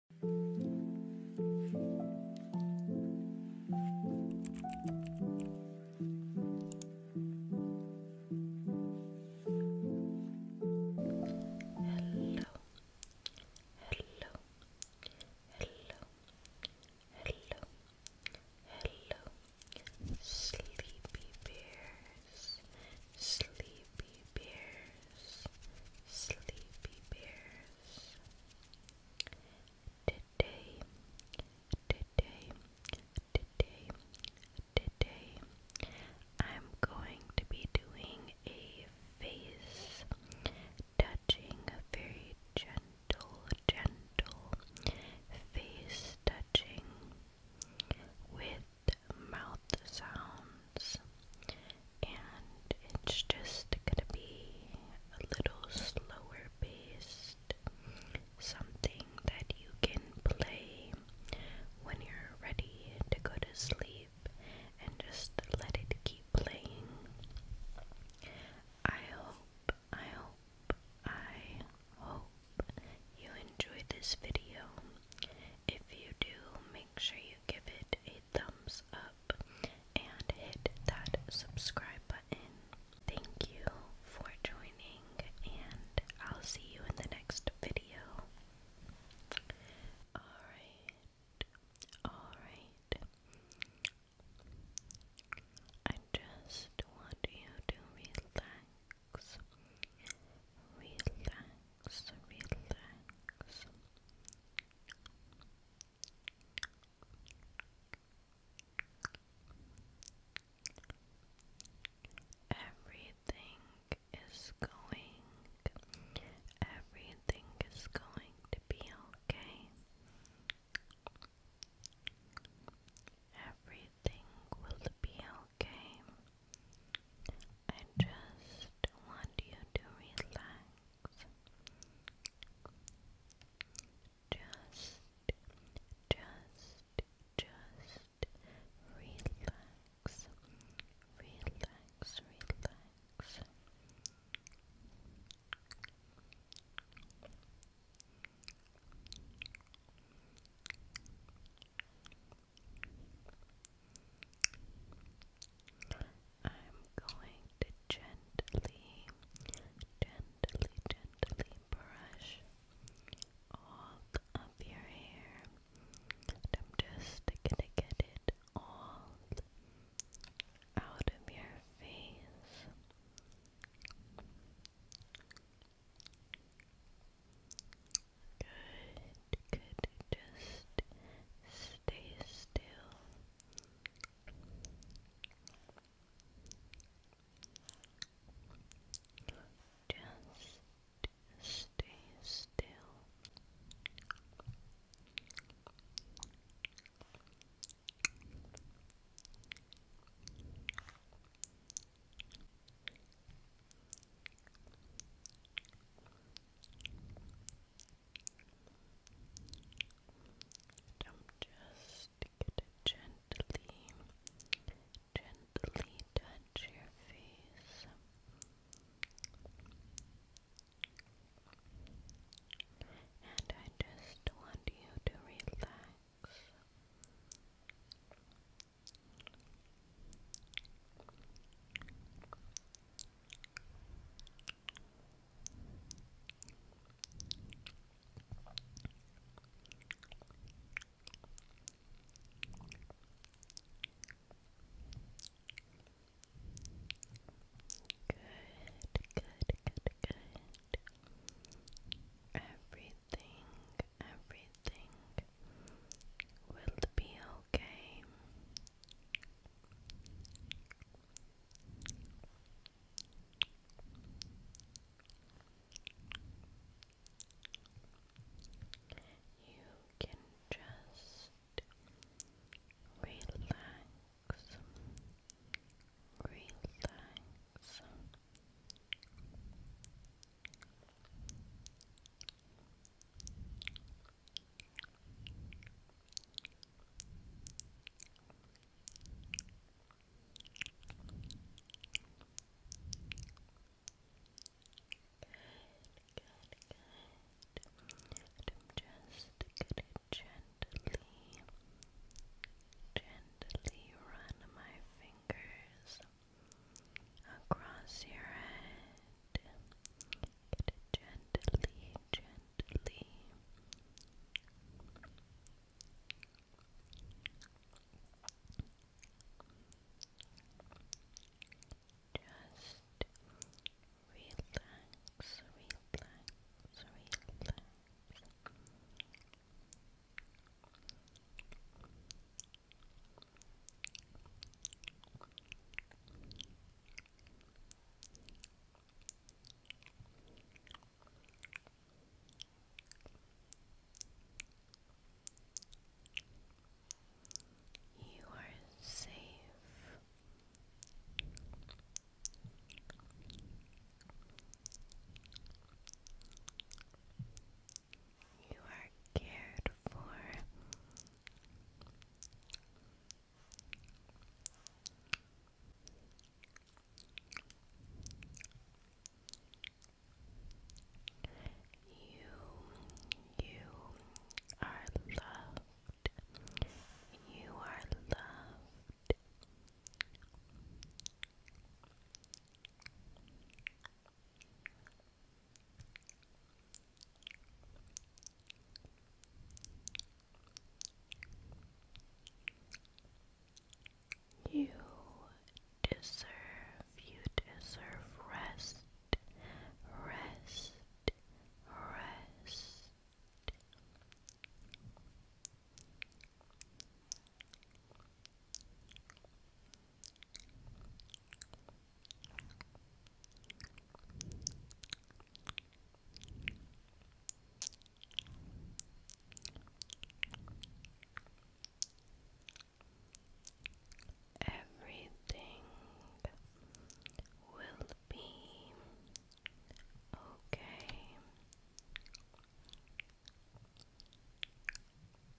hello, hello, hello, hello, sleepy bears, sleepy Sleepy Bears, Sleepy Bears. Today, today, today, today, I'm going to be doing a face touching, a very gentle, gentle face touching with mouth the sounds, and it's just gonna be a little slower paced, something that you can play when you're ready to go to sleep and just let it keep playing. I hope, I hope, I hope you enjoyed this video. If you do, make make sure you give it a thumbs up and hit that subscribe button. Thank you for joining, and I'll see you in the next video. Alright, alright. I just want you to relax. Relax relax, relax. Everything is going, everything is going to be okay. Everything will be okay. I just want you to relax. Just, just, just relax. Relax, relax. I'm going to gently, gently, gently brush all of your hair. And I'm just gonna get it all out of your face. Good, good. Just stay still. Just stay still just gonna gently, gently touch your face. And I just want you to relax. Good, good, good, good. Everything, everything will be Okay. You can just relax, relax, good. i just gently, gently run my fingers across your head. Gently, gently. Just relax, relax, relax. You are safe. You are cared for you, you are loved. You are loved. You deserve, you deserve rest, rest, rest. Everything will be okay.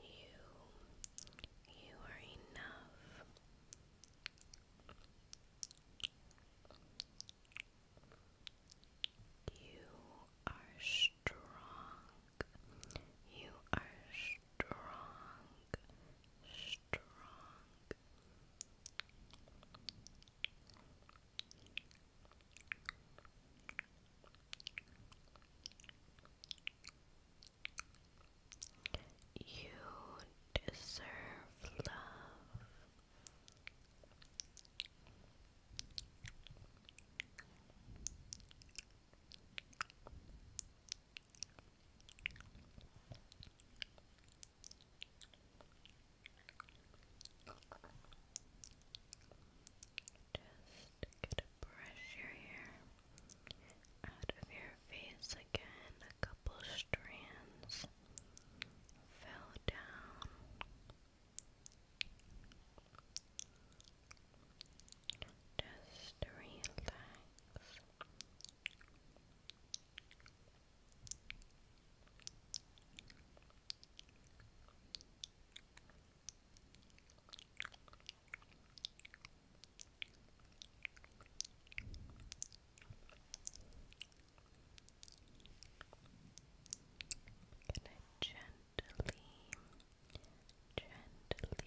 You, you are enough. You are strong. You are strong. Strong. You deserve love. Just gonna brush your hair out of your face again. A couple strands fell down. Just relax gonna gently, gently. Good,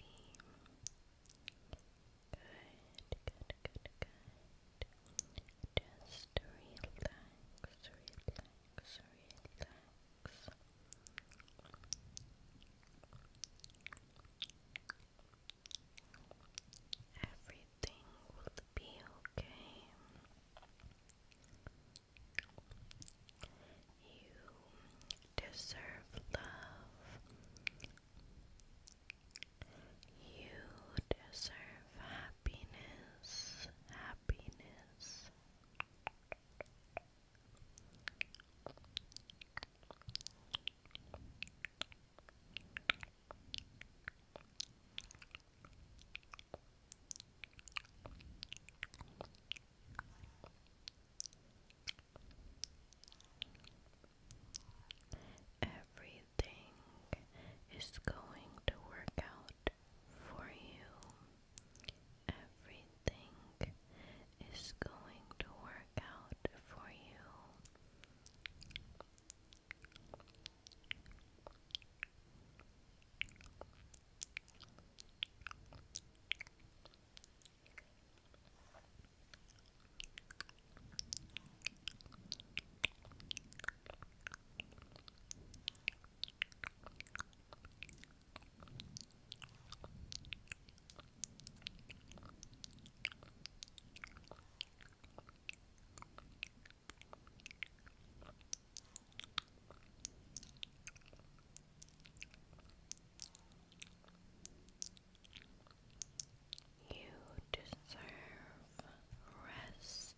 good, good, good. Just relax, relax, relax. Everything will be okay. You deserve love. You deserve happiness, happiness. Everything is going to work out for you. Everything is going to work out for you. You deserve rest.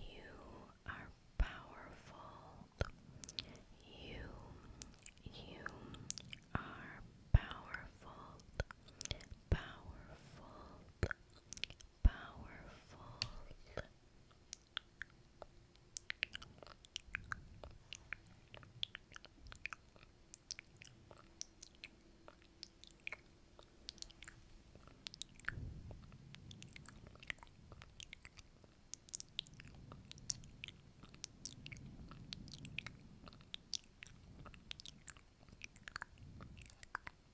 You are powerful. You, you are powerful, powerful, powerful. Thank you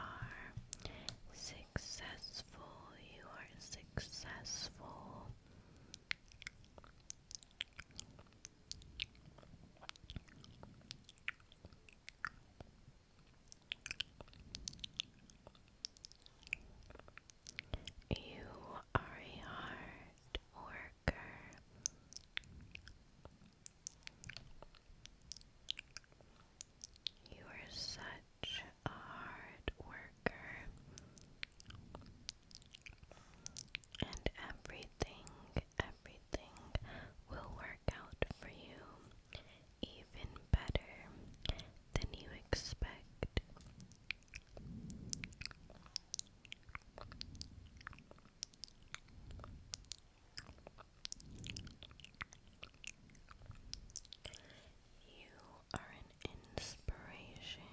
are successful. You are successful. You are a hard worker. You are such a hard worker. And everything, everything will work out for you even better than you expect. You are an inspiration.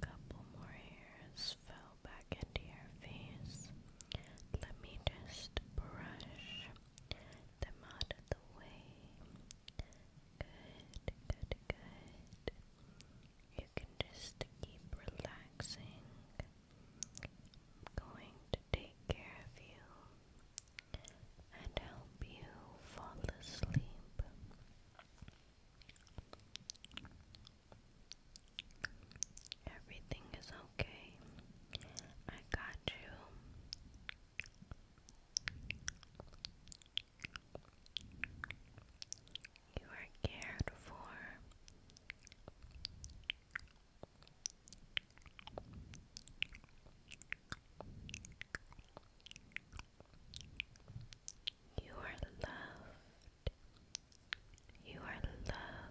Couple more hairs fell back into your face. Let me just brush them out of the way. Good, good, good. You can just keep relaxing. going to take care of you and help you fall asleep. Everything is okay. I got you. You are cared for. You are loved. You are loved.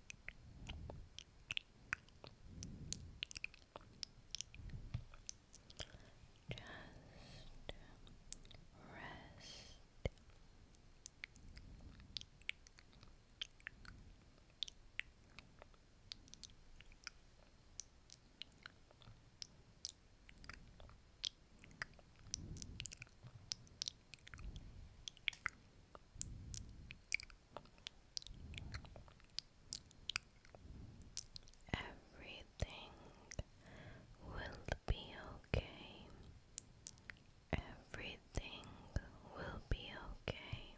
rest. Just Everything will be okay. Everything will be okay.